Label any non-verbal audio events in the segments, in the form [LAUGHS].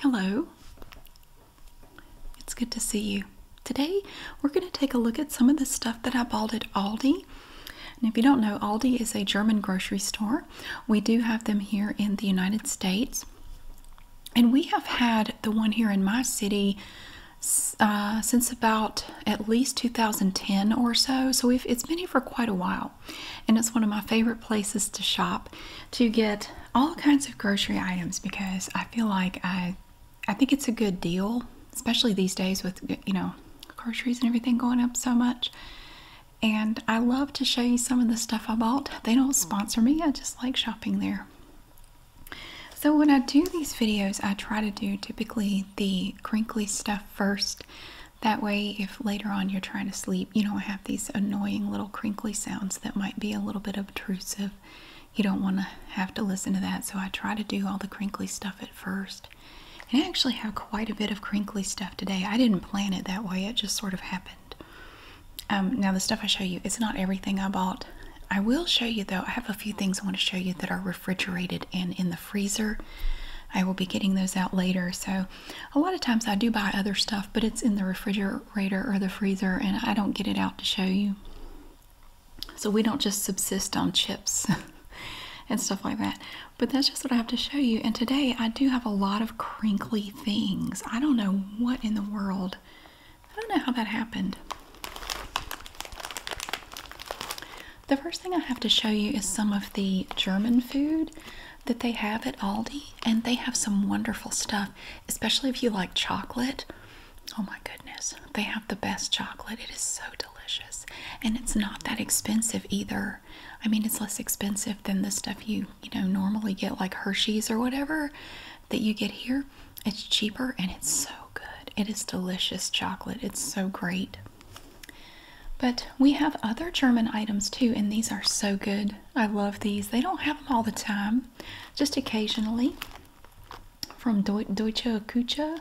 Hello, it's good to see you. Today we're going to take a look at some of the stuff that I bought at Aldi. And if you don't know, Aldi is a German grocery store. We do have them here in the United States. And we have had the one here in my city uh, since about at least 2010 or so. So it's been here for quite a while. And it's one of my favorite places to shop to get all kinds of grocery items because I feel like I I think it's a good deal, especially these days with you know groceries and everything going up so much. And I love to show you some of the stuff I bought. They don't sponsor me. I just like shopping there. So when I do these videos, I try to do typically the crinkly stuff first. That way, if later on you're trying to sleep, you know I have these annoying little crinkly sounds that might be a little bit obtrusive. You don't want to have to listen to that, so I try to do all the crinkly stuff at first. And I actually have quite a bit of crinkly stuff today. I didn't plan it that way, it just sort of happened. Um, now, the stuff I show you, it's not everything I bought. I will show you though, I have a few things I want to show you that are refrigerated and in the freezer. I will be getting those out later. So, a lot of times I do buy other stuff, but it's in the refrigerator refrigerator or the freezer, and I don't get it out to show you. So we don't just subsist on chips [LAUGHS] and stuff like that. But that's just what I have to show you. And today I do have a lot of crinkly things. I don't know what in the world. I don't know how that happened. The first thing I have to show you is some of the German food that they have at Aldi, and they have some wonderful stuff, especially if you like chocolate. Oh my goodness, they have the best chocolate. It is so delicious, and it's not that expensive either. I mean, it's less expensive than the stuff you you know normally get, like Hershey's or whatever that you get here. It's cheaper and it's so good. It is delicious chocolate. It's so great. But we have other German items too, and these are so good. I love these. They don't have them all the time, just occasionally. From Deutsche Küche,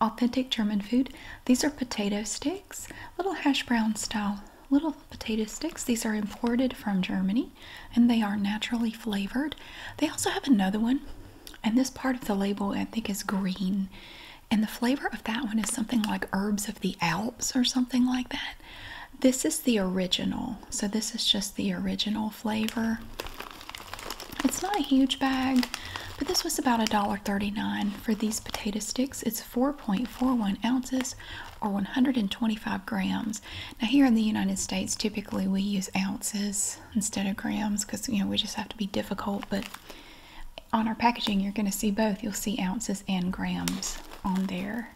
authentic German food. These are potato sticks, little hash brown style little potato sticks. These are imported from Germany and they are naturally flavored. They also have another one, and this part of the label I think is green. And the flavor of that one is something like herbs of the Alps or something like that. This is the original. So this is just the original flavor. It's not a huge bag, but this was about a dollar thirty-nine for these potato sticks. It's 4.41 ounces or 125 grams. Now here in the United States, typically we use ounces instead of grams because you know we just have to be difficult, but on our packaging you're going to see both. You'll see ounces and grams on there.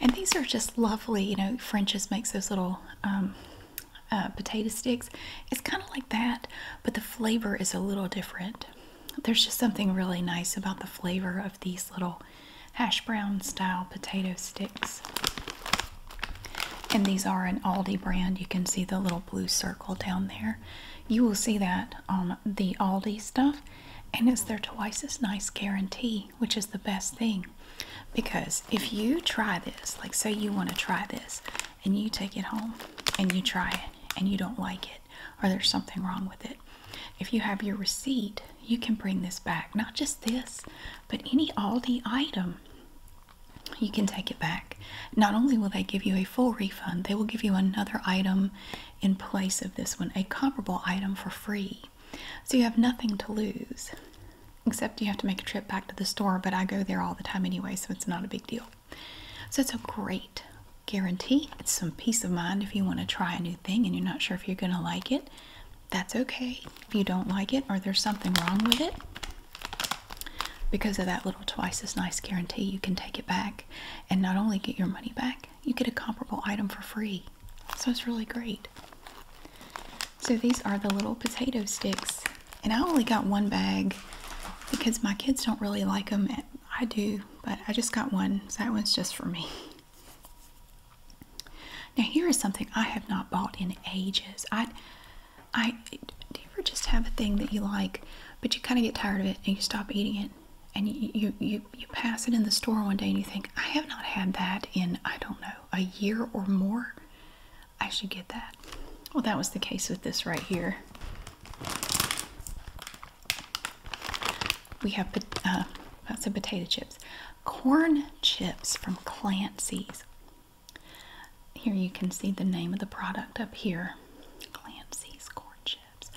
And these are just lovely. You know, French's makes those little um, uh, potato sticks. It's kind of like that, but the flavor is a little different. There's just something really nice about the flavor of these little hash brown style potato sticks. And these are an Aldi brand. You can see the little blue circle down there. You will see that on the Aldi stuff. And it's their twice as nice guarantee which is the best thing. Because if you try this, like say you want to try this, and you take it home and you try it and you don't like it, or there's something wrong with it, if you have your receipt, you can bring this back. Not just this, but any Aldi item. You can take it back. Not only will they give you a full refund, they will give you another item in place of this one, a comparable item for free. So you have nothing to lose, except you have to make a trip back to the store, but I go there all the time anyway, so it's not a big deal. So it's a great guarantee. It's some peace of mind if you want to try a new thing and you're not sure if you're going to like it. That's okay if you don't like it or there's something wrong with it. Because of that little twice as nice guarantee, you can take it back and not only get your money back, you get a comparable item for free. So it's really great. So these are the little potato sticks. And I only got one bag because my kids don't really like them. I do, but I just got one. So that one's just for me. Now here is something I have not bought in ages. I, I, do you ever just have a thing that you like, but you kind of get tired of it and you stop eating it, and you, you you pass it in the store one day and you think, I have not had that in, I don't know, a year or more. I should get that. Well, that was the case with this right here. We have, uh, I potato chips, corn chips from Clancy's. Here you can see the name of the product up here. Clancy's corn chips.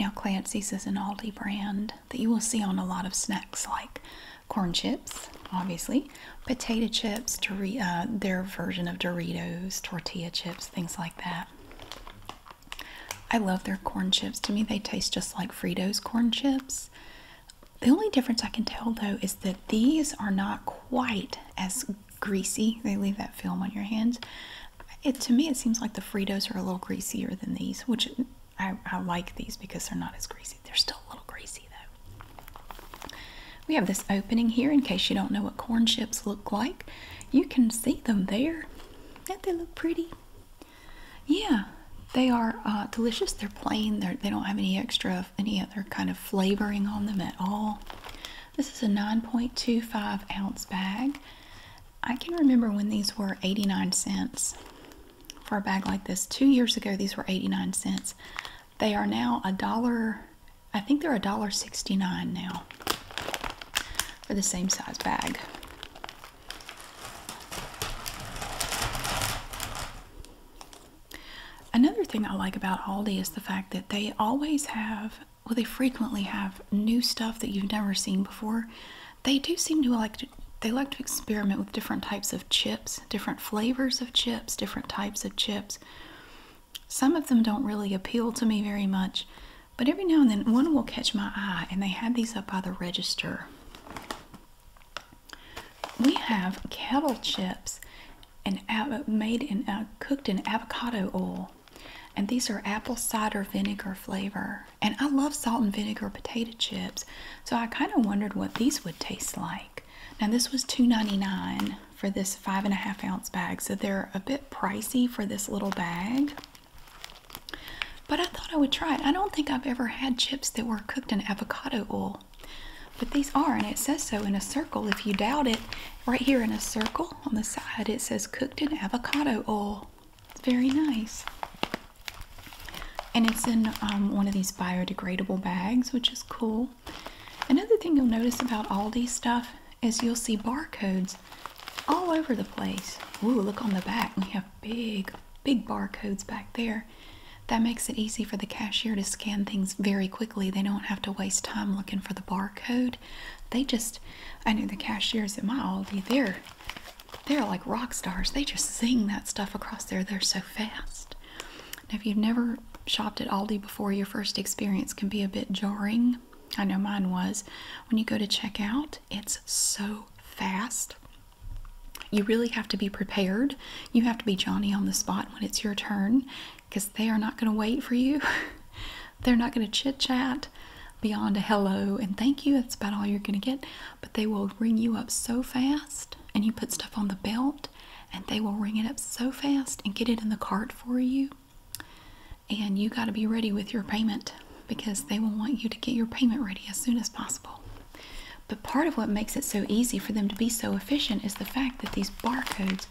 Now Clancy's is an Aldi brand that you will see on a lot of snacks like corn chips, obviously, potato chips, uh, their version of Doritos, tortilla chips, things like that. I love their corn chips. To me, they taste just like Fritos corn chips. The only difference I can tell though is that these are not quite as greasy. They leave that film on your hands. to me, it seems like the Fritos are a little greasier than these, which I, like these because they're not as greasy. They're still a little greasy though. We have this opening here in case you don't know what corn chips look like. You can see them there. Don't they look pretty? Yeah, they are uh, delicious. They're plain. They're, they are plain they do not have any extra, any other kind of flavoring on them at all. This is a 9.25 ounce bag. I can remember when these were 89 cents for a bag like this. Two years ago, these were 89 cents. They are now a dollar, I think they're a dollar 69 now for the same size bag. Another thing I like about Aldi is the fact that they always have, well, they frequently have new stuff that you've never seen before. They do seem to like to, they like to experiment with different types of chips, different flavors of chips, different types of chips. Some of them don't really appeal to me very much, but every now and then one will catch my eye, and they have these up by the register. We have kettle chips and made in uh, cooked in avocado oil, and these are apple cider vinegar flavor. And I love salt and vinegar potato chips. So I kind of wondered what these would taste like. Now this was two ninety nine for this five and a half ounce bag. So they're a bit pricey for this little bag. But I thought I would try it. I don't think I've ever had chips that were cooked in avocado oil. But these are, and it says so in a circle. If you doubt it, right here in a circle on the side, it says cooked in avocado oil. It's very nice. And it's in um, one of these biodegradable bags, which is cool. Another thing you'll notice about Aldi stuff is you'll see barcodes all over the place. Ooh, look on the back. We have big, big barcodes back there. That makes it easy for the cashier to scan things very quickly. They don't have to waste time looking for the barcode. They just, I know the cashiers at my Aldi, they're they're like rock stars. They just sing that stuff across there. They're so fast. Now, if you've never shopped at Aldi before, your first experience can be a bit jarring. I know mine was. When you go to check out, it's so fast. You really have to be prepared. You have to be Johnny on the spot when it's your turn because they are not going to wait for you. [LAUGHS] They're not going to chit chat beyond a hello and thank you. That's about all you're going to get but they will ring you up so fast and you put stuff on the belt and they will ring it up so fast and get it in the cart for you and you got to be ready with your payment because they will want you to get your payment ready as soon as possible but part of what makes it so easy for them to be so efficient is the fact that these barcodes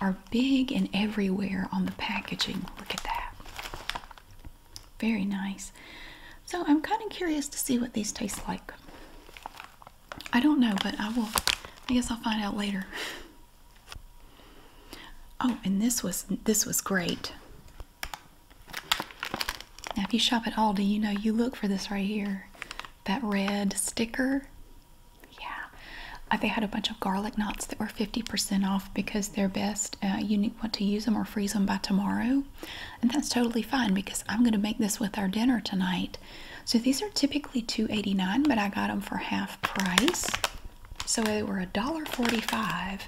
are big and everywhere on the packaging look at that very nice. So I'm kind of curious to see what these taste like. I don't know, but I will, I guess I'll find out later. Oh, and this was, this was great. Now, if you shop at Aldi, you know you look for this right here. That red sticker. Yeah. They had a bunch of garlic knots that were 50% off because they're best. Uh, you want to use them or freeze them by tomorrow. And that's totally fine because I'm going to make this with our dinner tonight. So these are typically two eighty nine, but I got them for half price. So they were a dollar forty five.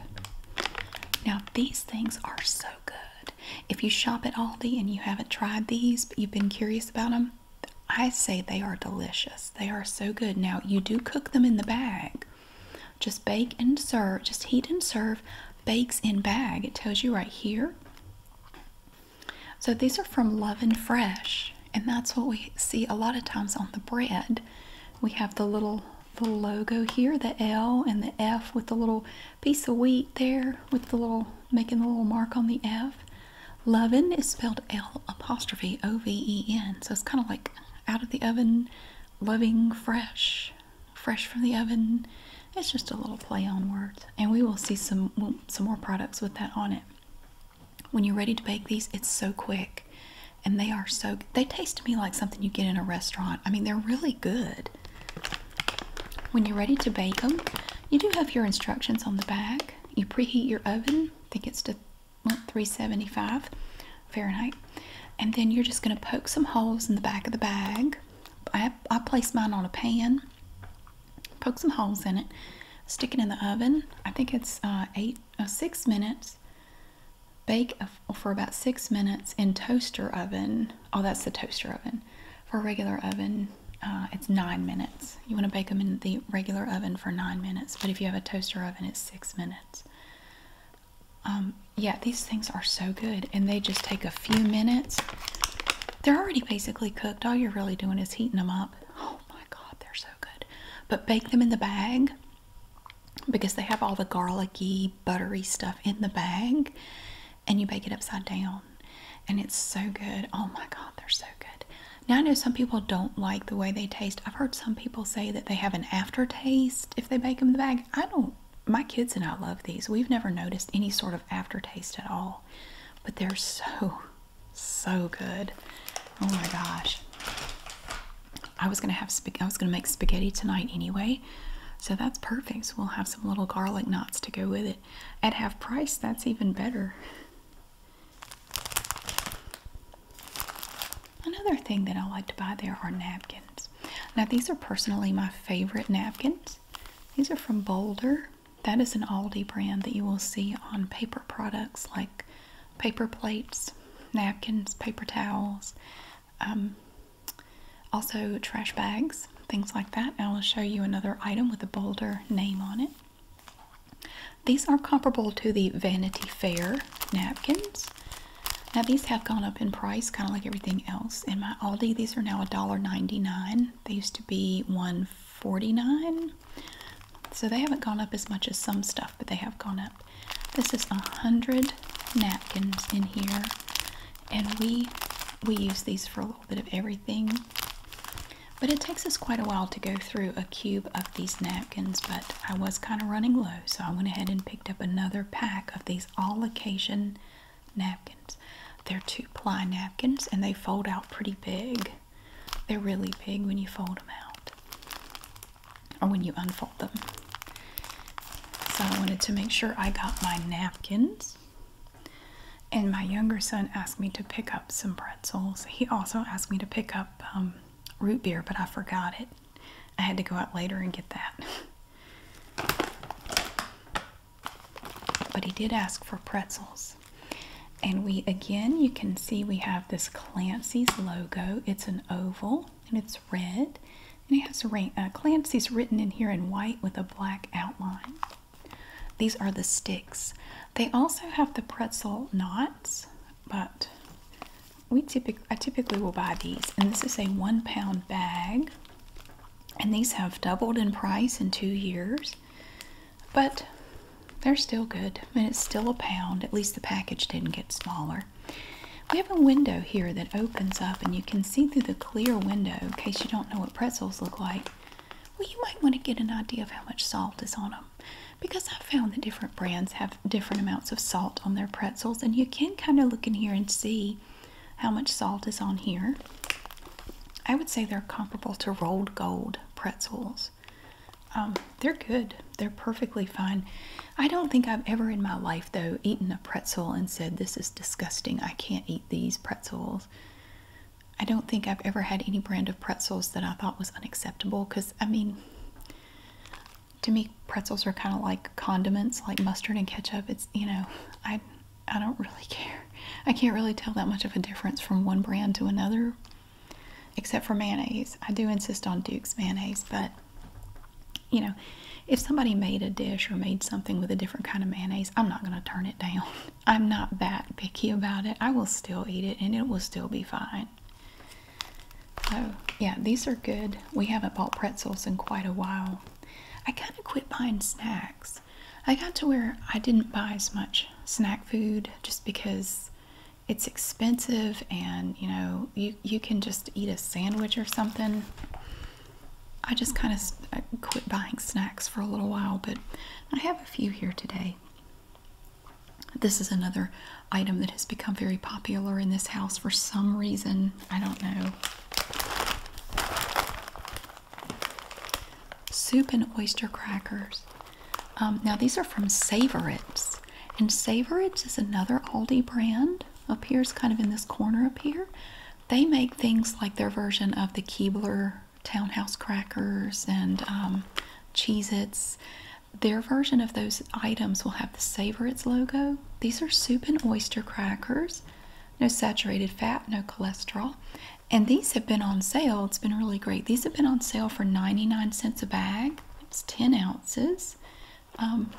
Now these things are so good. If you shop at Aldi and you haven't tried these, but you've been curious about them, I say they are delicious. They are so good. Now you do cook them in the bag, just bake and serve. Just heat and serve. Bakes in bag. It tells you right here. So these are from Loving Fresh, and that's what we see a lot of times on the bread. We have the little the logo here, the L and the F with the little piece of wheat there with the little making the little mark on the F. Loving is spelled L apostrophe O V E N. So it's kind of like out of the oven, loving fresh fresh from the oven. It's just a little play on words, and we will see some some more products with that on it. When you're ready to bake these, it's so quick, and they are so they taste to me like something you get in a restaurant. I mean, they're really good. When you're ready to bake them, you do have your instructions on the back. You preheat your oven. I think it's to 375 Fahrenheit, and then you're just going to poke some holes in the back of the bag I, I place mine on a pan, poke some holes in it, stick it in the oven. I think it's uh, eight uh, six minutes. Bake for about six minutes in toaster oven. Oh, that's the toaster oven. For a regular oven, uh, it's nine minutes. You want to bake them in the regular oven for nine minutes, but if you have a toaster oven, it's six minutes. Um, yeah, these things are so good and they just take a few minutes. They're already basically cooked. All you're really doing is heating them up. Oh my god, they're so good. But bake them in the bag because they have all the garlicky, buttery stuff in the bag and you bake it upside down and it's so good. Oh my god, they're so good. Now I know some people don't like the way they taste. I've heard some people say that they have an aftertaste if they bake them in the bag. I don't my kids and I love these. We've never noticed any sort of aftertaste at all, but they're so, so good. Oh my gosh. I was gonna have I was gonna make spaghetti tonight anyway, so that's perfect. So we'll have some little garlic knots to go with it. At half price, that's even better. Another thing that I like to buy there are napkins. Now, these are personally my favorite napkins. These are from Boulder. That is an Aldi brand that you will see on paper products like paper plates, napkins, paper towels, um, also trash bags, things like that. I will show you another item with a Boulder name on it. These are comparable to the Vanity Fair napkins. Now these have gone up in price, kind of like everything else. In my Aldi, these are now $1.99. They used to be $1.49. So they haven't gone up as much as some stuff, but they have gone up. This is a 100 napkins in here. And we we use these for a little bit of everything. But it takes us quite a while to go through a cube of these napkins, but I was kind of running low, so I went ahead and picked up another pack of these all occasion napkins. They're two ply napkins and they fold out pretty big. They're really big when you fold them out or when you unfold them. So I wanted to make sure I got my napkins. And my younger son asked me to pick up some pretzels. He also asked me to pick up um, root beer, but I forgot it. I had to go out later and get that. [LAUGHS] But he did ask for pretzels. And we again, you can see we have this Clancy's logo. It's an oval and it's red. And it has uh, Clancy's written in here in white with a black outline. These are the sticks. They also have the pretzel knots, but we typically I typically will buy these. And this is a one pound bag and these have doubled in price in two years, but they're still good and it's still a pound. At least the package didn't get smaller. We have a window here that opens up, and you can see through the clear window in case you don't know what pretzels look like. Well, you might want to get an idea of how much salt is on them because I found that different brands have different amounts of salt on their pretzels, and you can kind of look in here and see how much salt is on here. I would say they're comparable to rolled gold pretzels. Um, they're good. They're perfectly fine. I don't think I've ever in my life, though, eaten a pretzel and said, This is disgusting. I can't eat these pretzels. I don't think I've ever had any brand of pretzels that I thought was unacceptable because, I mean, to me, pretzels are kind of like condiments, like mustard and ketchup. It's, you know, I, I don't really [LAUGHS] care. I can't really tell that much of a difference from one brand to another, except for mayonnaise. I do insist on Duke's mayonnaise, but you know, if somebody made a dish or made something with a different kind of mayonnaise, I'm not going to turn it down. [LAUGHS] I'm not that picky about it. I will still eat it and it will still be fine. So, yeah, these are good. We haven't bought pretzels in quite a while. I kind of quit buying snacks. I got to where I didn't buy as much snack food just because it's expensive and you know you you can just eat a sandwich or something. I just kind of quit buying snacks for a little while, but I have a few here today. This is another item that has become very popular in this house for some reason. I don't know. Soup and oyster crackers. Um, now, these are from Savorits. And Savorits is another Aldi brand. up Appears kind of in this corner up here. They make things like their version of the Keebler townhouse crackers and um, Their version of those items will have the Savorits logo. These are soup and oyster crackers no saturated fat, no cholesterol. And these have been on sale. It's been really great. These have been on sale for 99 cents a bag. It's 10 ounces. Um,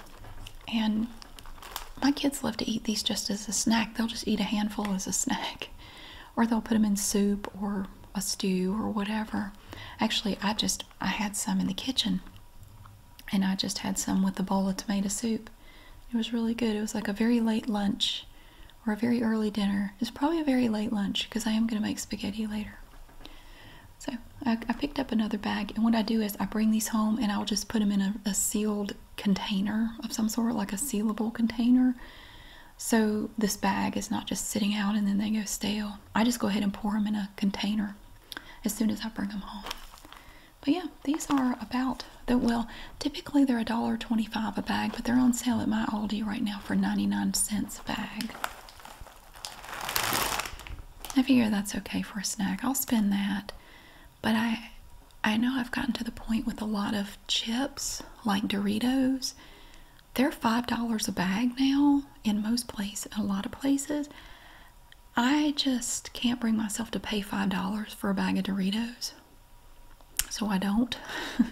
and my kids love to eat these just as a snack. They'll just eat a handful as a [LAUGHS] snack, or they'll put them in soup or a stew or whatever. Actually, I just I had some in the kitchen, and I just had some with a bowl of tomato soup, it was really good. It was like a very late lunch or a very early dinner. It's probably a very late lunch because I am going to make spaghetti later. So I, picked up another bag, and what I do is I bring these home and I'll just put them in a sealed container of some sort, like a sealable container. So this bag is not just sitting out and then they go stale. I just go ahead and pour them in a container as soon as I bring them home. But yeah, these are about that. Well, typically they're a dollar twenty-five a bag, but they're on sale at my Aldi right now for ninety-nine cents a bag. I figure that's okay for a snack. I'll spend that, but I, I know I've gotten to the point with a lot of chips like Doritos. They're five dollars a bag now in most places. A lot of places. I just can't bring myself to pay $5 for a bag of Doritos. So I don't.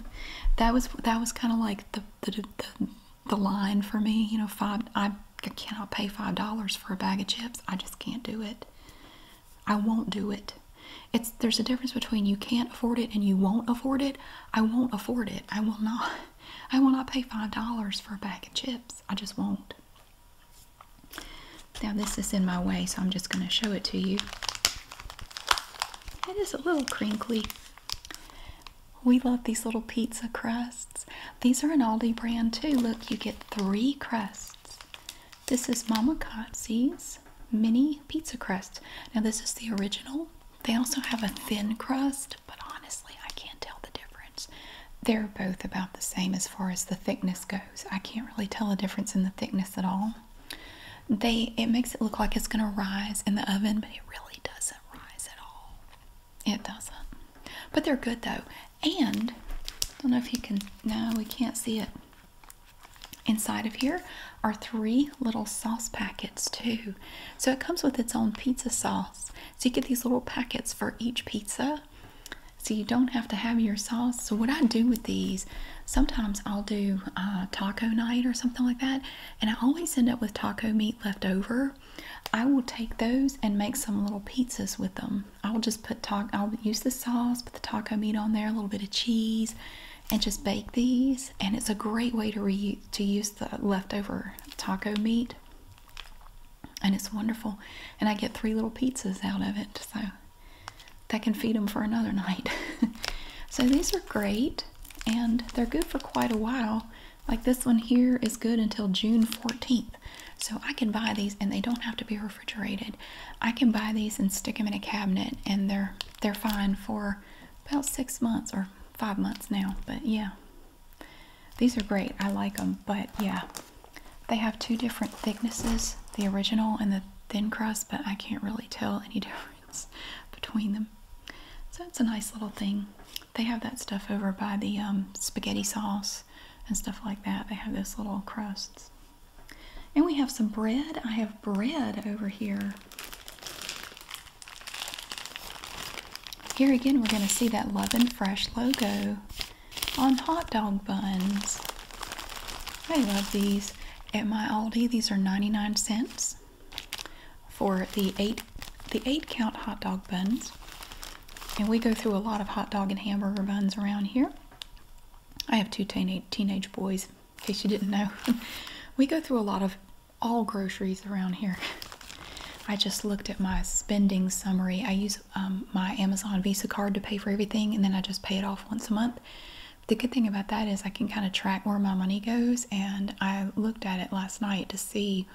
[LAUGHS] that was that was kind of like the the, the line for me. You know, five. I, I cannot pay five dollars for a bag of chips. I just can't do it. I won't do it. It's there's a difference between you can't afford it and you won't afford it. I won't afford it. I will not. [LAUGHS] I will not pay five dollars for a bag of chips. I just won't. Now this is in my way, so I'm just going to show it to you. It is a little crinkly. We love these little pizza crusts. These are an Aldi brand too. Look, you get three crusts. This is Mama Kotze's mini pizza crust. Now this is the original. They also have a thin crust, but honestly, I can't tell the difference. They're both about the same as far as the thickness goes. I can't really tell a difference in the thickness at all. They it makes it look like it's gonna rise in the oven, but it really doesn't rise at all. It doesn't. But they're good though. And I don't know if you can no, we can't see it. Inside of here are three little sauce packets too. So it comes with its own pizza sauce. So you get these little packets for each pizza pasta so you don't have to have your sauce so what i do with these sometimes i'll do uh, taco night or something like that and i always end up with taco meat left over i will take those and make some little pizzas with them i'll just put taco i'll use the sauce put the taco meat on there a little bit of cheese and just bake these and it's a great way to reuse to use the leftover taco meat and it's wonderful and i get three little pizzas out of it so that can feed them for another night. [LAUGHS] so these are great and they're good for quite a while. Like this one here is good until June 14th. So I can buy these and they don't have to be refrigerated. I can buy these and stick them in a cabinet and they're they're fine for about 6 months or 5 months now. But yeah. These are great. I like them, but yeah. They have two different thicknesses, the original and the thin crust, but I can't really tell any [LAUGHS] difference between them. So that's a nice little thing. They have that stuff over by the um, spaghetti sauce and stuff like that. They have those little crusts. And we have some bread. I have bread over here. Here again, we're going to see that Love and Fresh logo on hot dog buns. I love these at my Aldi. These are 99 cents for the eight the eight count hot dog buns. And we go through a lot of hot dog and hamburger buns around here. I have two teenage, teenage boys, in case you didn't know. [LAUGHS] we go through a lot of all groceries around here. [LAUGHS] I just looked at my spending summary. I use um, my Amazon Visa card to pay for everything, and then I just pay it off once a month. The good thing about that is I can kind of track where my money goes, and I looked at it last night to see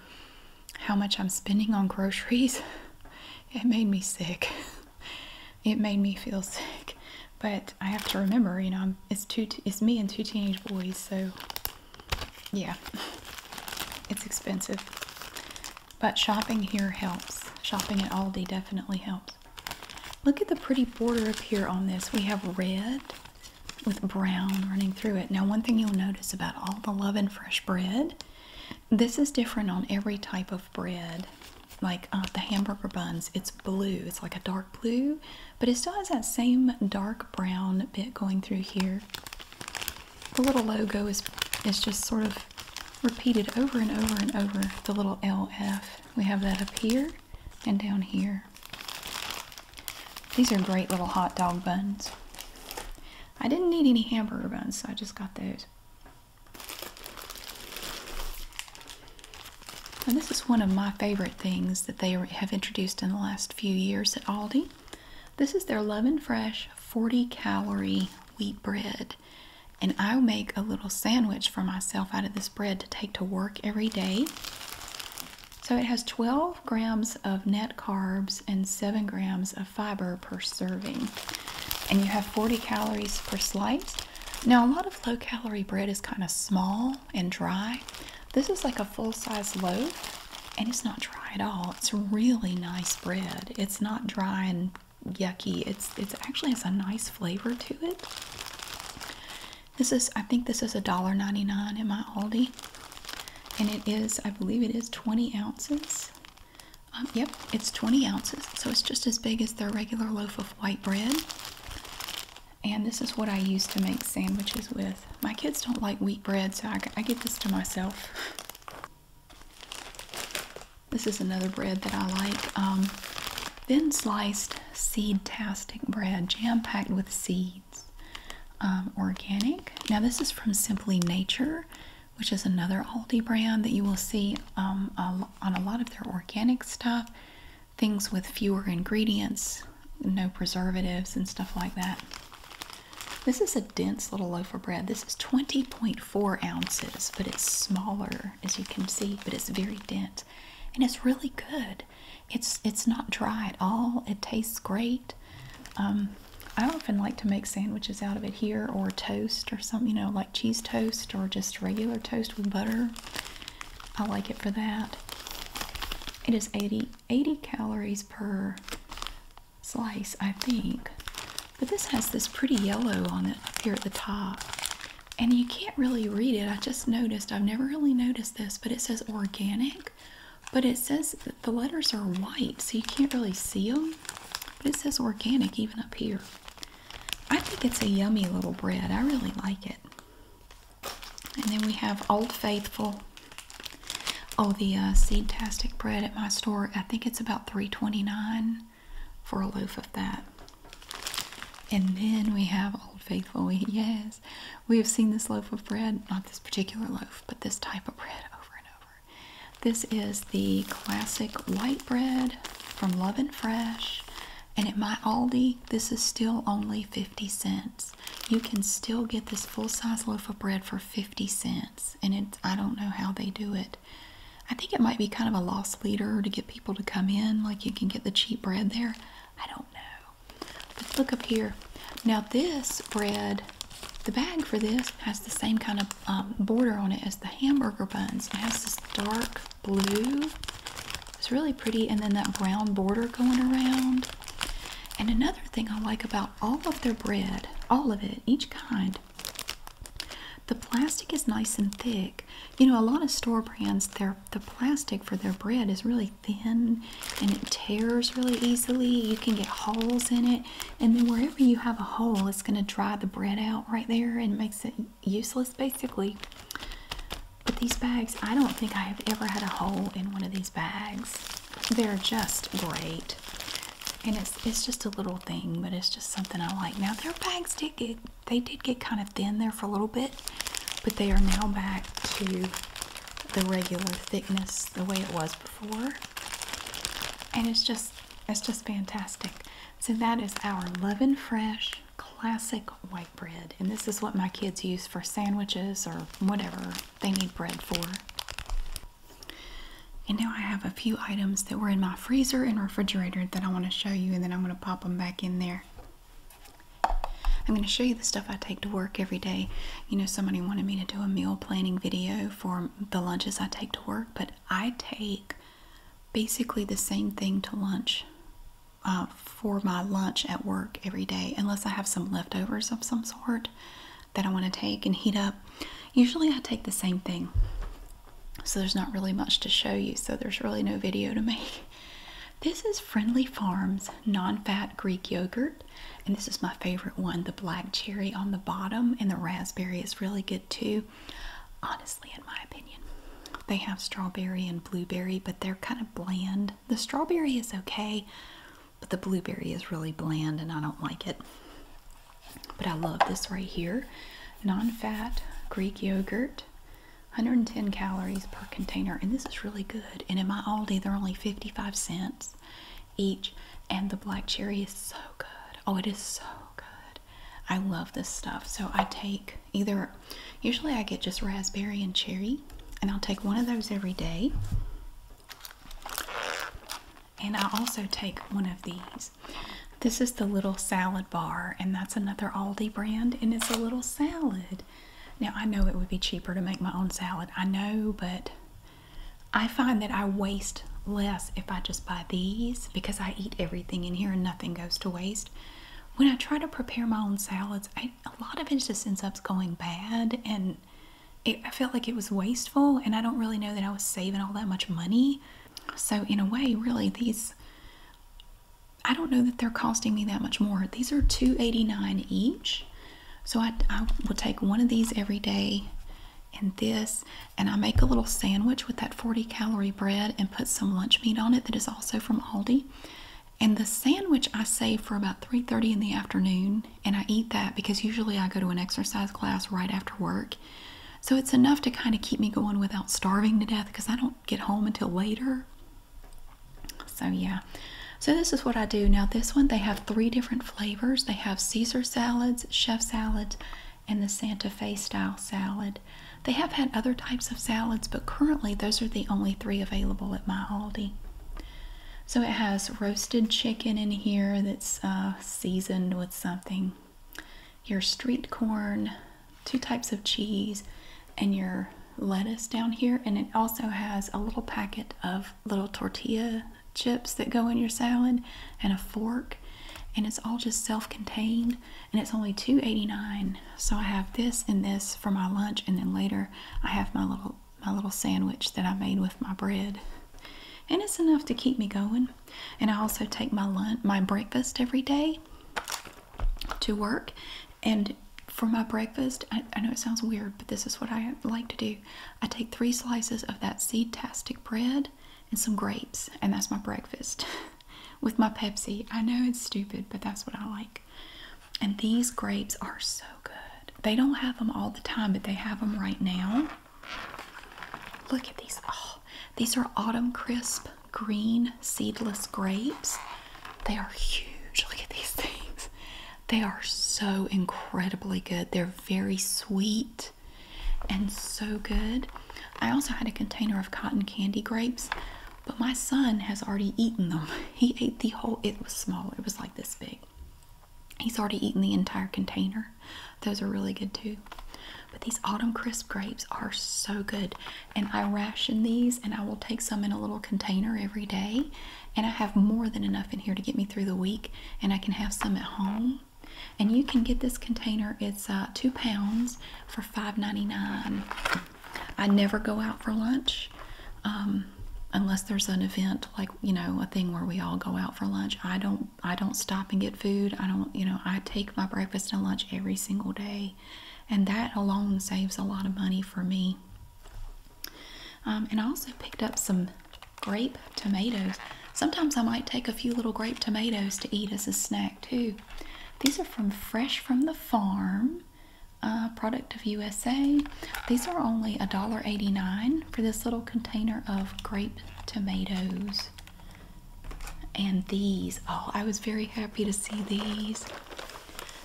how much I'm spending on groceries. [LAUGHS] It made me sick. [LAUGHS] It made me feel sick, but I have to remember, you know, it's two, it's me and two teenage boys, so yeah, [LAUGHS] it's expensive. But shopping here helps. Shopping at Aldi definitely helps. Look at the pretty border up here on this. We have red with brown running through it. Now, one thing you'll notice about all the Love and Fresh bread, this is different on every type of bread. Like uh, the hamburger buns, it's blue. It's like a dark blue, but it still has that same dark brown bit going through here. The little logo is is just sort of repeated over and over and over the little LF. We have that up here and down here. These are great little hot dog buns. I didn't need any hamburger buns, so I just got those. And this is one of my favorite things that they have introduced in the last few years at Aldi. This is their Love Fresh 40 calorie wheat bread. And I'll make a little sandwich for myself out of this bread to take to work every day. So it has 12 grams of net carbs and 7 grams of fiber per serving. And you have 40 calories per slice. Now, a lot of low calorie bread is kind of small and dry. This is like a full size loaf, and it's not dry at all. It's really nice bread. It's not dry and yucky. It's it's actually has a nice flavor to it. This is I think this is a dollar ninety nine in my Aldi. And it is, I believe it is 20 ounces. Um, yep, it's 20 ounces. So it's just as big as their regular loaf of white bread. And this is what I use to make sandwiches with. My kids don't like wheat bread, so I, I get this to myself. [LAUGHS] This is another bread that I like. Um, thin sliced seed-tastic bread, jam-packed with seeds. Um, organic. Now this is from Simply Nature, which is another Aldi brand that you will see um, on a lot of their organic stuff. Things with fewer ingredients, no preservatives and stuff like that. This is a dense little loaf of bread. This is 20.4 ounces, but it's smaller, as you can see but it's very dense, and it's really good. It's it's not dry at all. It tastes great. Um, I often like to make sandwiches out of it here, or toast, or something. You know, like cheese toast, or just regular toast with butter. I like it for that. It is 80, 80 calories per slice, I think. But this has this pretty yellow on it up here at the top and you can't really read it. I just noticed, I've never really noticed this, but it says organic, but it says the letters are white, so you can't really see them. But it says organic even up here. I think it's a yummy little bread. I really like it. And then we have Old Faithful. Oh, the uh, seed tastic bread at my store. I think it's about three twenty-nine for a loaf of that. And then we have Old Faithful. yes, we have seen this loaf of bread, not this particular loaf, but this type of bread over and over. This is the classic white bread from Love and Fresh. And at my Aldi, this is still only 50 cents. You can still get this full size loaf of bread for 50 cents. And it, I don't know how they do it. I think it might be kind of a loss leader to get people to come in. Like you can get the cheap bread there. I don't know. But look up here. Now this bread, the bag for this has the same kind of um, border on it as the hamburger buns. It has this dark blue. It's really pretty, and then that brown border going around. And another thing I like about all of their bread, all of it, each kind, the plastic is nice and thick. You know, a lot of store brands, their the plastic for their bread is really thin and it tears really easily. You can get holes in it, and then wherever you have a hole, it's going to dry the bread out right there and makes it useless basically. But these bags, I don't think I have ever had a hole in one of these bags. They're just great. And it's it's just a little thing, but it's just something I like. Now their bags did get they did get kind of thin there for a little bit, but they are now back to the regular thickness the way it was before. And it's just it's just fantastic. So that is our Loving Fresh classic white bread. And this is what my kids use for sandwiches or whatever they need bread for. And now I have a few items that were in my freezer and refrigerator that I want to show you and then I'm going to pop them back in there. I'm going to show you the stuff I take to work every day. You know, somebody wanted me to do a meal planning video for the lunches I take to work, but I take basically the same thing to lunch uh, for my lunch at work every day, unless I have some leftovers of some sort that I want to take and heat up. Usually I take the same thing. So there's not really much to show you, so there's really no video to make. [LAUGHS] This is Friendly Farms non-fat Greek yogurt, and this is my favorite one, the black cherry on the bottom and the raspberry is really good too. Honestly, in my opinion. They have strawberry and blueberry, but they're kind of bland. The strawberry is okay, but the blueberry is really bland and I don't like it. But I love this right here. Non-fat Greek yogurt. 110 calories per container, and this is really good. And in my Aldi, they're only 55 cents each, and the black cherry is so good. Oh, it is so good. I love this stuff. So I take either, usually I get just raspberry and cherry, and I'll take one of those every day. And I also take one of these this is the little salad bar, and that's another Aldi brand, and it's a little salad. Now, I know it would be cheaper to make my own salad. I know, but I find that I waste less if I just buy these because I eat everything in here and nothing goes to waste. When I try to prepare my own salads, a lot of it just ends up going bad, and I felt like it was wasteful, and I don't really know that I was saving all that much money. So, in a way, really, these I don't know that they're costing me that much more. These are $2.89 each. So I, I will take one of these every day and this, and I make a little sandwich with that 40 calorie bread and put some lunch meat on it that is also from Aldi. And the sandwich I save for about 3:30 in the afternoon, and I eat that because usually I go to an exercise class right after work. So it's enough to kind of keep me going without starving to death because I don't get home until later. So, yeah. So, this is what I do. Now, this one, they have three different flavors. They have Caesar salads, chef salads, and the Santa Fe style salad. They have had other types of salads, but currently those are the only three available at my Aldi. So, it has roasted chicken in here that's uh, seasoned with something your street corn, two types of cheese, and your lettuce down here. And it also has a little packet of little tortilla chips that go in your salad and a fork. And it's all just self-contained and it's only $2.89. So I have this and this for my lunch and then later I have my little my little sandwich that I made with my bread. And it's enough to keep me going. And I also take my lunch my breakfast every day to work and for my breakfast, I, know it sounds weird, but this is what I like to do. I take three slices of that seed-tastic bread and some grapes, and that's my breakfast [LAUGHS] with my Pepsi. I know it's stupid, but that's what I like. And these grapes are so good. They don't have them all the time, but they have them right now. Look at these. Oh, these are autumn crisp green seedless grapes. They are huge. Look at these [LAUGHS] things. They are so incredibly good. They're very sweet and so good. I also had a container of cotton candy grapes, but my son has already eaten them. [LAUGHS] He ate the whole, it was small, it was like this big. He's already eaten the entire container. Those are really good too. But these autumn crisp grapes are so good, and I ration these, and I will take some in a little container every day. And I have more than enough in here to get me through the week, and I can have some at home. And you can get this container, it's uh, two pounds for five ninety nine. I never go out for lunch. Um, unless there's an event like you know a thing where we all go out for lunch i don't i don't stop and get food i don't you know i take my breakfast and lunch every single day and that alone saves a lot of money for me. Um, and I also picked up some grape tomatoes. Sometimes I might take a few little grape tomatoes to eat as a snack too. These are from Fresh from the Farm, product of USA. These are only a dollar eighty nine for this little container of grape tomatoes. And these, oh, I was very happy to see these.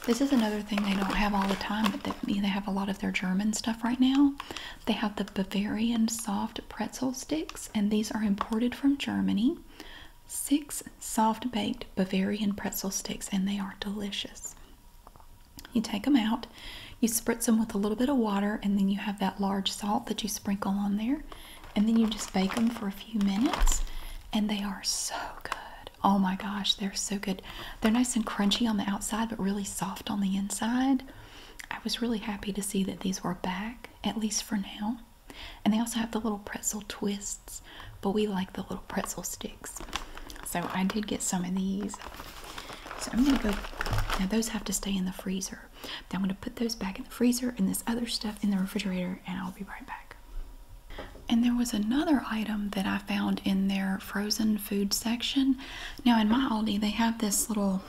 This is another thing they don't have all the time, but they, have a lot of their German stuff right now. They have the Bavarian soft pretzel sticks, and these are imported from Germany. Six soft baked Bavarian pretzel sticks, and they are delicious. You take them out, you spritz them with a little bit of water, and then you have that large salt that you sprinkle on there, and then you just bake them for a few minutes and they are so good. Oh my gosh, they're so good. They're nice and crunchy on the outside but really soft on the inside. I was really happy to see that these were back, at least for now. And they also have the little pretzel twists, but we like the little pretzel sticks. So I did get some of these. So I'm gonna go, now those have to stay in the freezer. Then I'm gonna put those back in the freezer and this other stuff in the refrigerator and I'll be right back. And there was another item that I found in their frozen food section. Now, in my Aldi, they have this little,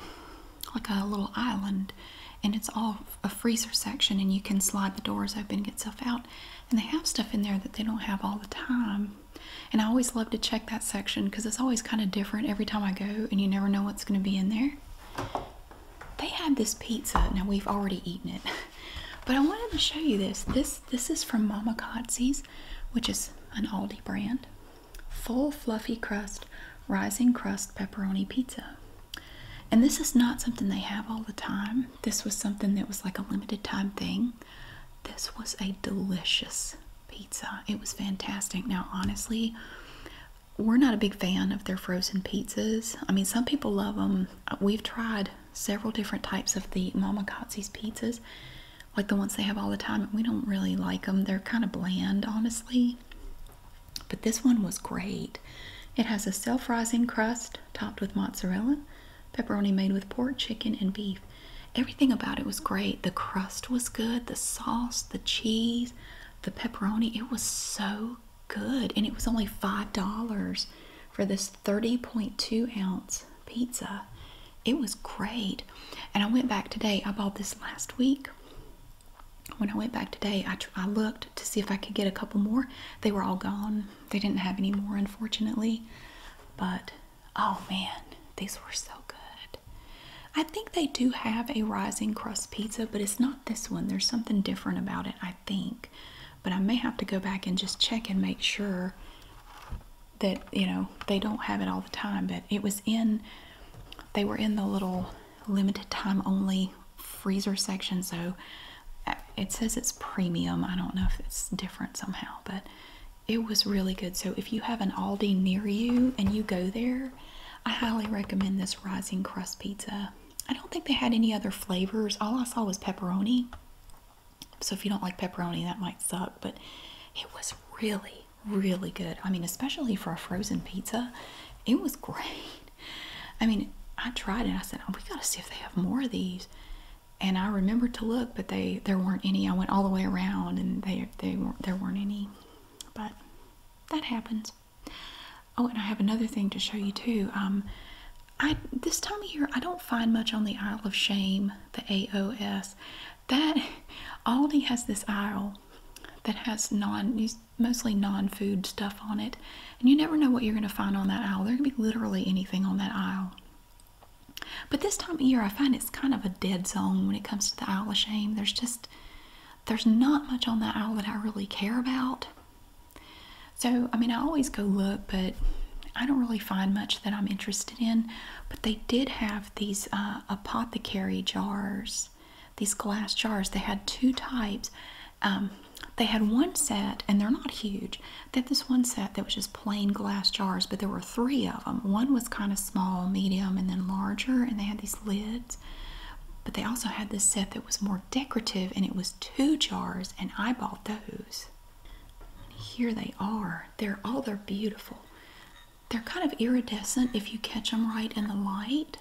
like a little island, and it's all a freezer section, and you can slide the doors open, get stuff out. And they have stuff in there that they don't have all the time. And I always love to check that section because it's always kind of different every time I go, and you never know what's going to be in there they had this pizza. Now we've already eaten it, [LAUGHS] but I wanted to show you this. This this is from Mama Kotze's, which is an Aldi brand. Full fluffy crust, rising crust pepperoni pizza. And this is not something they have all the time. This was something that was like a limited time thing. This was a delicious pizza. It was fantastic. Now, honestly, we're not a big fan of their frozen pizzas. I mean, some people love them. We've tried several different types of the Mama Gotzi's pizzas, like the ones they have all the time. We don't really like them. They're kind of bland, honestly. But this one was great. It has a self-rising crust topped with mozzarella, pepperoni made with pork, chicken, and beef. Everything about it was great. The crust was good, the sauce, the cheese, the pepperoni. It was so good. And it was only $5 for this 30.2 ounce pizza. It was great. And I went back today. I bought this last week. When I went back today, I, I looked to see if I could get a couple more. They were all gone. They didn't have any more, unfortunately. But oh man, these were so good. I think they do have a rising crust pizza, but it's not this one. There's something different about it, I think, but I may have to go back and just check and make sure that you know they don't have it all the time. But it was in, they were in the little limited time only freezer section, so uh, it says it's premium. I don't know if it's different somehow, but it was really good. So if you have an Aldi near you and you go there, I highly recommend this rising crust pizza. I don't think they had any other flavors. All I saw was pepperoni. So if you don't like pepperoni, that might suck, but it was really, really good. I mean, especially for a frozen pizza, it was great. I mean, I tried it. I said, oh, we got to see if they have more of these. And I remembered to look, but they there weren't any. I went all the way around, and they, they weren't, there weren't any. But that happens. Oh, and I have another thing to show you too. Um, this time of year I don't find much on the Isle of Shame, the AOS. That [LAUGHS] Aldi has this aisle that has mostly non-food stuff on it, and you never know what you're going to find on that aisle. There can be literally anything on that aisle. But this time of year, I find it's kind of a dead zone when it comes to the Isle of Shame. There's just there's not much on that aisle that I really care about. So, I mean, I always go look, but I don't really find much that I'm interested in. But they did have these uh, apothecary jars, these glass jars. They had two types. Um, they had one set, and they're not huge. They had this one set that was just plain glass jars, but there were three of them. One was kind of small, medium, and then larger, and they had these lids. But they also had this set that was more decorative, and it was two jars and I bought those. Here they are. They're all oh, they're beautiful. They're kind of iridescent if you catch them right in the light.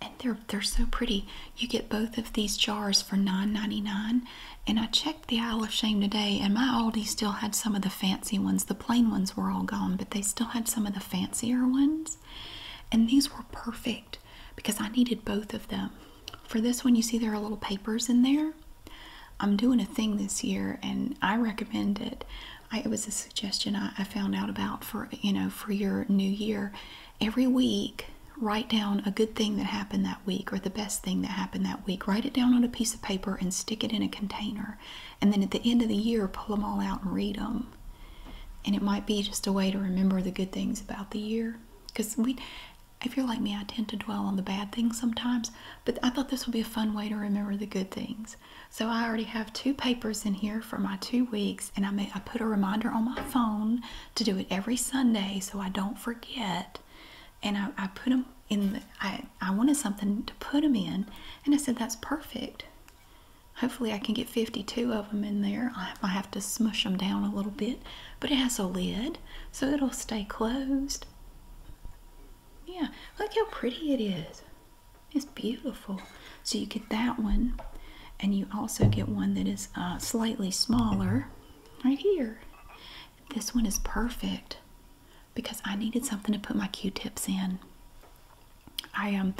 And they're they're so pretty. You get both of these jars for $9.99. And I checked the aisle of Shame today, and my Aldi still had some of the fancy ones. The plain ones were all gone, but they still had some of the fancier ones. And these were perfect because I needed both of them. For this one, you see there are little papers in there. I'm doing a thing this year and I recommend it. it was a suggestion I found out about for, you know, for your new year. Every week, write down a good thing that happened that week or the best thing that happened that week. Write it down on a piece of paper and stick it in a container. And then at the end of the year, pull them all out and read them. And it might be just a way to remember the good things about the year. Because we, if you're like me, I tend to dwell on the bad things sometimes. But I thought this would be a fun way to remember the good things. So I already have two papers in here for my two weeks. And I, put a reminder on my phone to do it every Sunday so I don't forget. And I, put them in I wanted something to put them in. And I said, that's perfect. Hopefully, I can get 52 of them in there. I have to smush them down a little bit, but it has a lid, so it'll stay closed. Yeah, look how pretty it is. It's beautiful. So, you get that one, and you also get one that is uh, slightly smaller right here. This one is perfect because I needed something to put my Q tips in. I um,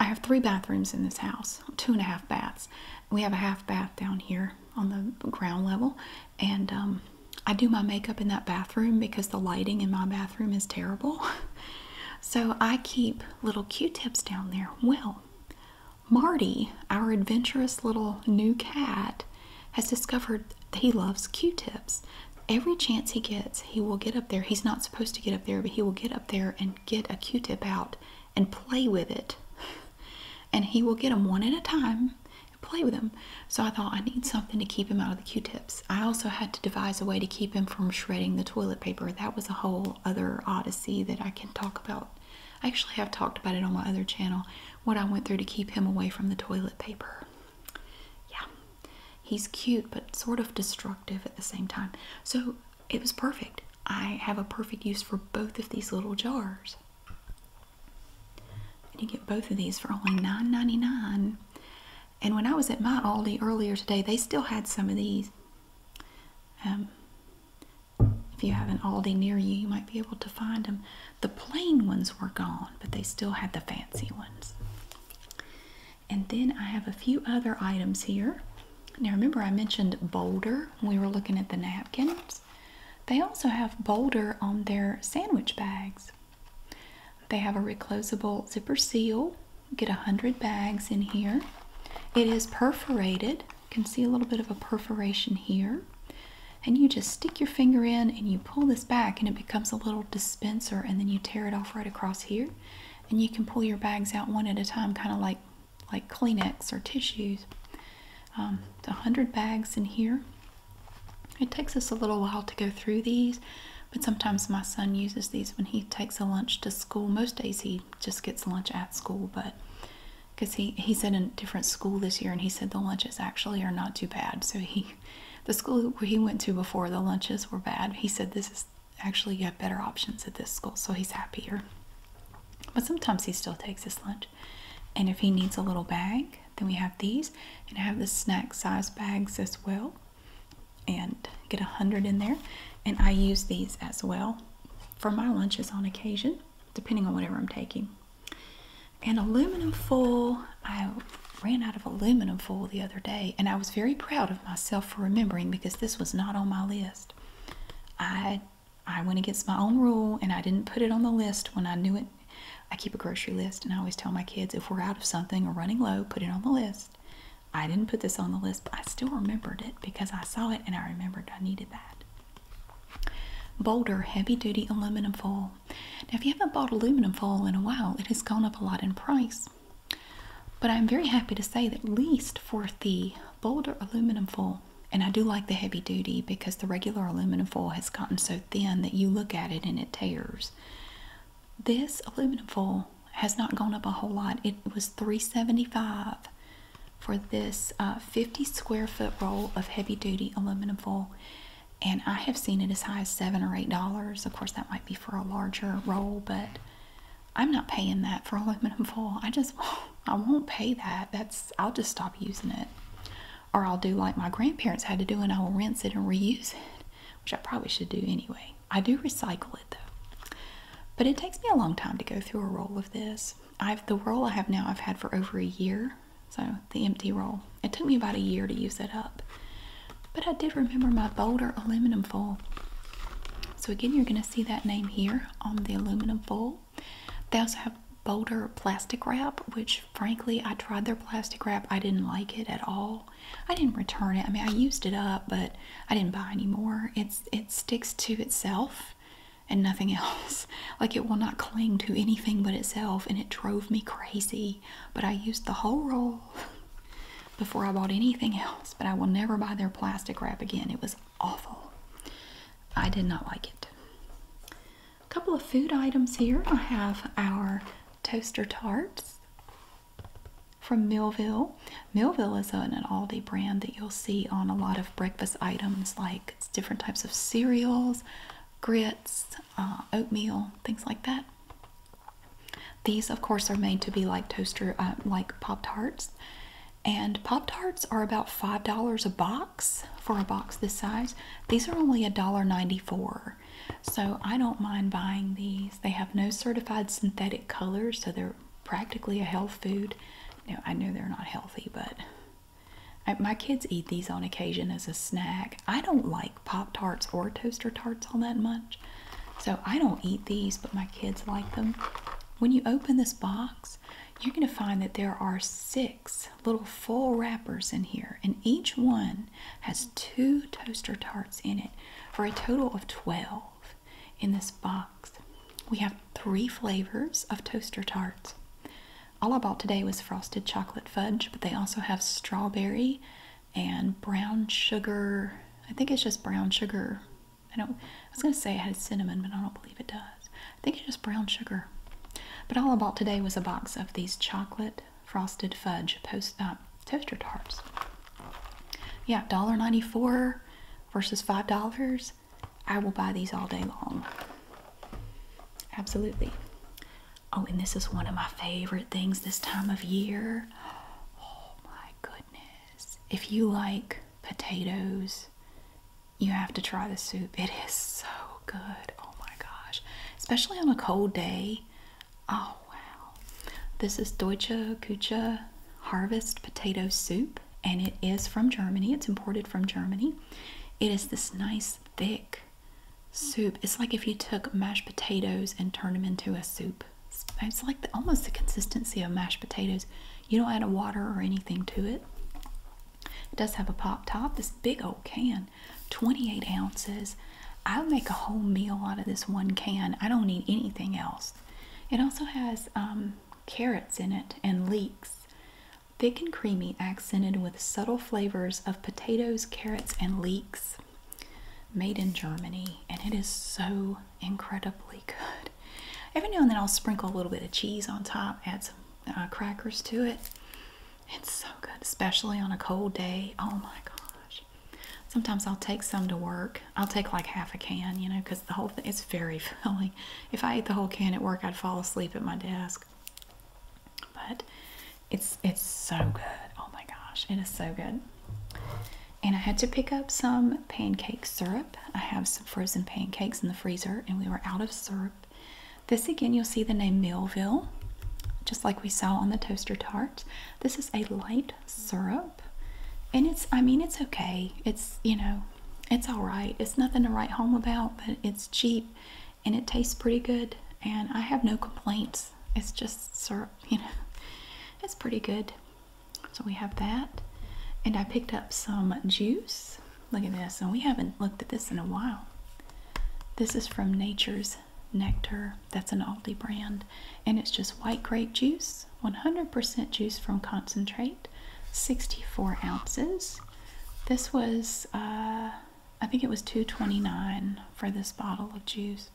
I have three bathrooms in this house, two and a half baths. We have a half bath down here on the ground level, and um, I do my makeup in that bathroom because the lighting in my bathroom is terrible. [LAUGHS] so I keep little q tips down there. Well, Marty, our adventurous little new cat, has discovered that he loves q tips. Every chance he gets, he will get up there. He's not supposed to get up there, but he will get up there and get a q tip out and play with it. And he will get them one at a time and play with them. So I thought I need something to keep him out of the Q-tips. I also had to devise a way to keep him from shredding the toilet paper. That was a whole other odyssey that I can talk about. I actually have talked about it on my other channel, what I went through to keep him away from the toilet paper. Yeah, he's cute, but sort of destructive at the same time. So it was perfect. I have a perfect use for both of these little jars. you get both of these for only $9.99. And when I was at my Aldi earlier today, they still had some of these. Um, if you have an Aldi near you, you might be able to find them. The plain ones were gone, but they still had the fancy ones. And then I have a few other items here. Now remember I mentioned Boulder we were looking at the napkins. They also have Boulder on their sandwich bags. They have a reclosable zipper seal. Get a 100 bags in here. It is perforated. You can see a little bit of a perforation here. And you just stick your finger in and you pull this back and it becomes a little dispenser and then you tear it off right across here. And you can pull your bags out one at a time, kind of like like Kleenex or tissues. Um, 100 bags in here. It takes us a little while to go through these, but sometimes my son uses these when he takes a lunch to school. Most days he just gets lunch at school, but because he, he's at a different school this year and he said the lunches actually are not too bad. So he, the school he went to before the lunches were bad. He said this is actually you have better options at this school so he's happier but sometimes he still takes his lunch and if he needs a little bag then we have these and have the snack size bags as well and get a hundred in there and I use these as well for my lunches on occasion depending on whatever I'm taking and aluminum foil I ran out of aluminum foil the other day and I was very proud of myself for remembering because this was not on my list I I went against my own rule and I didn't put it on the list when I knew it. I keep a grocery list and I always tell my kids if we're out of something or running low, put it on the list. I didn't put this on the list, but I still remembered it because I saw it and I remembered I needed that. Boulder heavy duty aluminum foil. Now, if you haven't bought aluminum foil in a while, it has gone up a lot in price. But I'm very happy to say that, least for the Boulder aluminum foil. And I do like the heavy duty because the regular aluminum foil has gotten so thin that you look at it and it tears. This aluminum foil has not gone up a whole lot. It was 375 for this uh, 50 square foot roll of heavy duty aluminum foil. And I have seen it as high as seven or eight dollars. Of course, that might be for a larger roll, but I'm not paying that for aluminum foil. I just, [LAUGHS] I won't pay that. That's, I'll just stop using it. Or I'll do like my grandparents had to do and I'll rinse it and reuse it, which I probably should do anyway. I do recycle it though. But it takes me a long time to go through a roll of this. I've, the roll I have now I've had for over a year. So the empty roll. It took me about a year to use it up. But I did remember my Boulder aluminum foil. So again, you're gonna see that name here on the aluminum foil. They also have bolder plastic wrap, which frankly, I tried their plastic wrap. I didn't like it at all. I didn't return it. I mean, I used it up, but I didn't buy anymore. It's it sticks to itself and nothing [LAUGHS] else. Like it will not cling to anything but itself, and it drove me crazy. But I used the whole roll [LAUGHS] before I bought anything else. But I will never buy their plastic wrap again. It was awful. I did not like it. A couple of food items here. I have our toaster tarts from Millville. Millville is an, Aldi brand that you'll see on a lot of breakfast items like different types of cereals, grits, uh, oatmeal, things like that. These, of course, are made to be like toaster, uh, like Pop Tarts, and Pop Tarts are about $5 a box for a box this size. These are only a dollar ninety-four, So I don't mind buying these. They have no certified synthetic colors, so they're practically a health food. Now, I know they're not healthy, but my kids eat these on occasion as a snack. I don't like Pop Tarts or Toaster Tarts all that much. So I don't eat these, but my kids like them. When you open this box, you're going to find that there are six little full wrappers in here, and each one has two toaster tarts in it for a total of 12 in this box. We have three flavors of toaster tarts. All I bought today was frosted chocolate fudge, but they also have strawberry and brown sugar. I think it's just brown sugar I don't. I was gonna say it had cinnamon, but I don't believe it does. I think it's just brown sugar. But all I bought today was a box of these chocolate frosted fudge post, uh, toaster tarts. Yeah, $1.94 versus $5. I will buy these all day long. Absolutely. Oh, and this is one of my favorite things this time of year. [GASPS] Oh my goodness. If you like potatoes. You have to try the soup. It is so good. Oh my gosh. Especially on a cold day. Oh wow. This is Deutsche Küche Harvest Potato Soup and it is from Germany. It's imported from Germany. It is this nice thick soup. It's like if you took mashed potatoes and turned them into a soup. It's like almost the consistency of mashed potatoes you don't add water or anything to it. It does have a pop top, this big old can, 28 ounces. I make a whole meal out of this one can. I don't need anything else. It also has um, carrots in it and leeks. Thick and creamy, accented with subtle flavors of potatoes, carrots, and leeks. Made in Germany, and it is so incredibly good. Every now and then I'll sprinkle a little bit of cheese on top, add some uh, crackers to it. It's so good, especially on a cold day. Oh my gosh. Sometimes I'll take some to work. I'll take like half a can, you know, because the whole thing is very [LAUGHS] filling. If I ate the whole can at work, I'd fall asleep at my desk. But it's it's so good. Oh my gosh, it is so good. And I had to pick up some pancake syrup. I have some frozen pancakes in the freezer and we were out of syrup. This again, you'll see the name Millville, just like we saw on the toaster tart. This is a light syrup and it's, I mean, it's okay. It's, you know, it's all right. It's nothing to write home about, but it's cheap and it tastes pretty good. And I have no complaints. It's just syrup, [LAUGHS] you know, it's pretty good. So we have that. And I picked up some juice. Look at this. And we haven't looked at this in a while. This is from Nature's Nectar. That's an Aldi brand. And it's just white grape juice, 100% juice from concentrate, 64 ounces. This was, uh, I think it was 229 for this bottle of juice.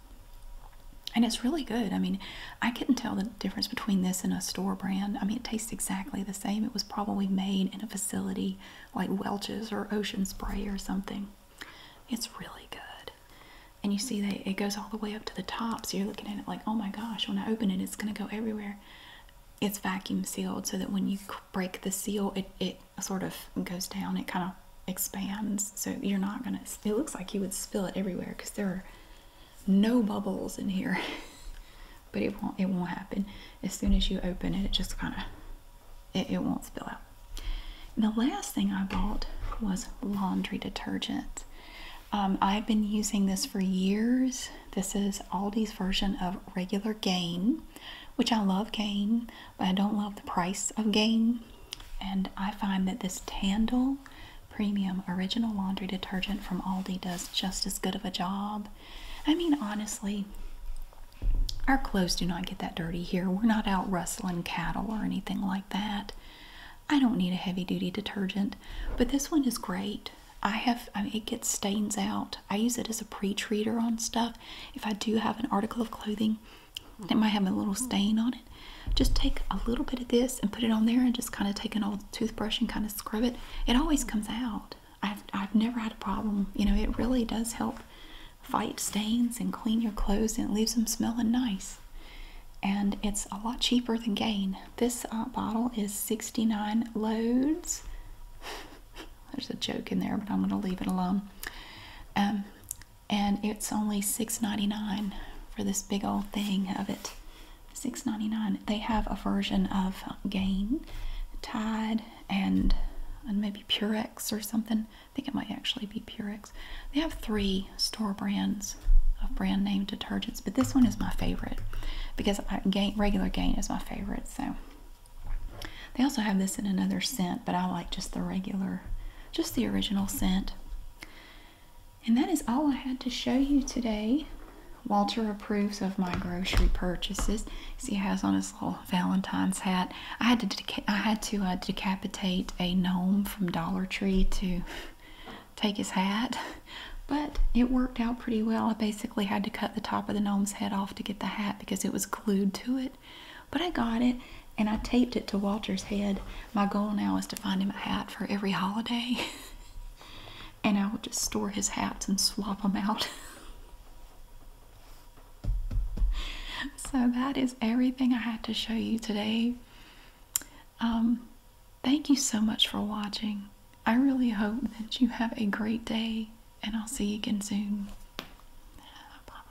And it's really good. I mean, I couldn't tell the difference between this and a store brand? I mean, it tastes exactly the same. It was probably made in a facility like Welch's or Ocean Spray or something. It's really good. And you see that it goes all the way up to the top. So you're looking at it like, oh my gosh, when I open it, it's going to go everywhere. It's vacuum sealed so that when you break the seal, it, it sort of goes down. It kind of expands. So you're not going to, it looks like you would spill it everywhere because there are no bubbles in here [LAUGHS] but it won't it won't happen as soon as you open it it just kind of it, won't spill out the last thing i bought was laundry detergent um, i've been using this for years this is aldi's version of regular gain which i love gain but i don't love the price of gain and i find that this tandle premium original laundry detergent from Aldi does just as good of a job. I mean, honestly, our clothes do not get that dirty here. We're not out rustling cattle or anything like that. I don't need a heavy duty detergent, but this one is great. I have, it gets stains out. I use it as a pre treater on stuff. If I do have an article of clothing that might have a little stain on it, just take a little bit of this and put it on there and just kind of take an old toothbrush and kind of to scrub it, it always comes out. I've, I've never had a problem. You know, it really does help fight stains and clean your clothes and it leaves them smelling nice. And it's a lot cheaper than Gain. This uh, bottle is 69 loads. [LAUGHS] There's a joke in there, but I'm going to leave it alone. Um, and it's only 6.99 for this big old thing of it. Six ninety nine. They have a version of Gain, Tide, and, and maybe Purex or something. I think it might actually be Purex. They have three store brands of brand name detergents, but this one is my favorite because I, Gain, regular Gain is my favorite. So they also have this in another scent, but I like just the regular, just the original scent. And that is all I had to show you today. Walter approves of my grocery purchases. he has on his little Valentine's hat. I had to I had to uh, decapitate a gnome from Dollar Tree to [LAUGHS] take his hat, but it worked out pretty well. I basically had to cut the top of the gnome's head off to get the hat because it was glued to it. But I got it, and I taped it to Walter's head. My goal now is to find him a hat for every holiday. [LAUGHS] and I will just store his hats and swap them out. [LAUGHS] so that is everything I had to show you today. Um, thank you so much for watching. I really hope that you have a great day, and I'll see you again soon. bye.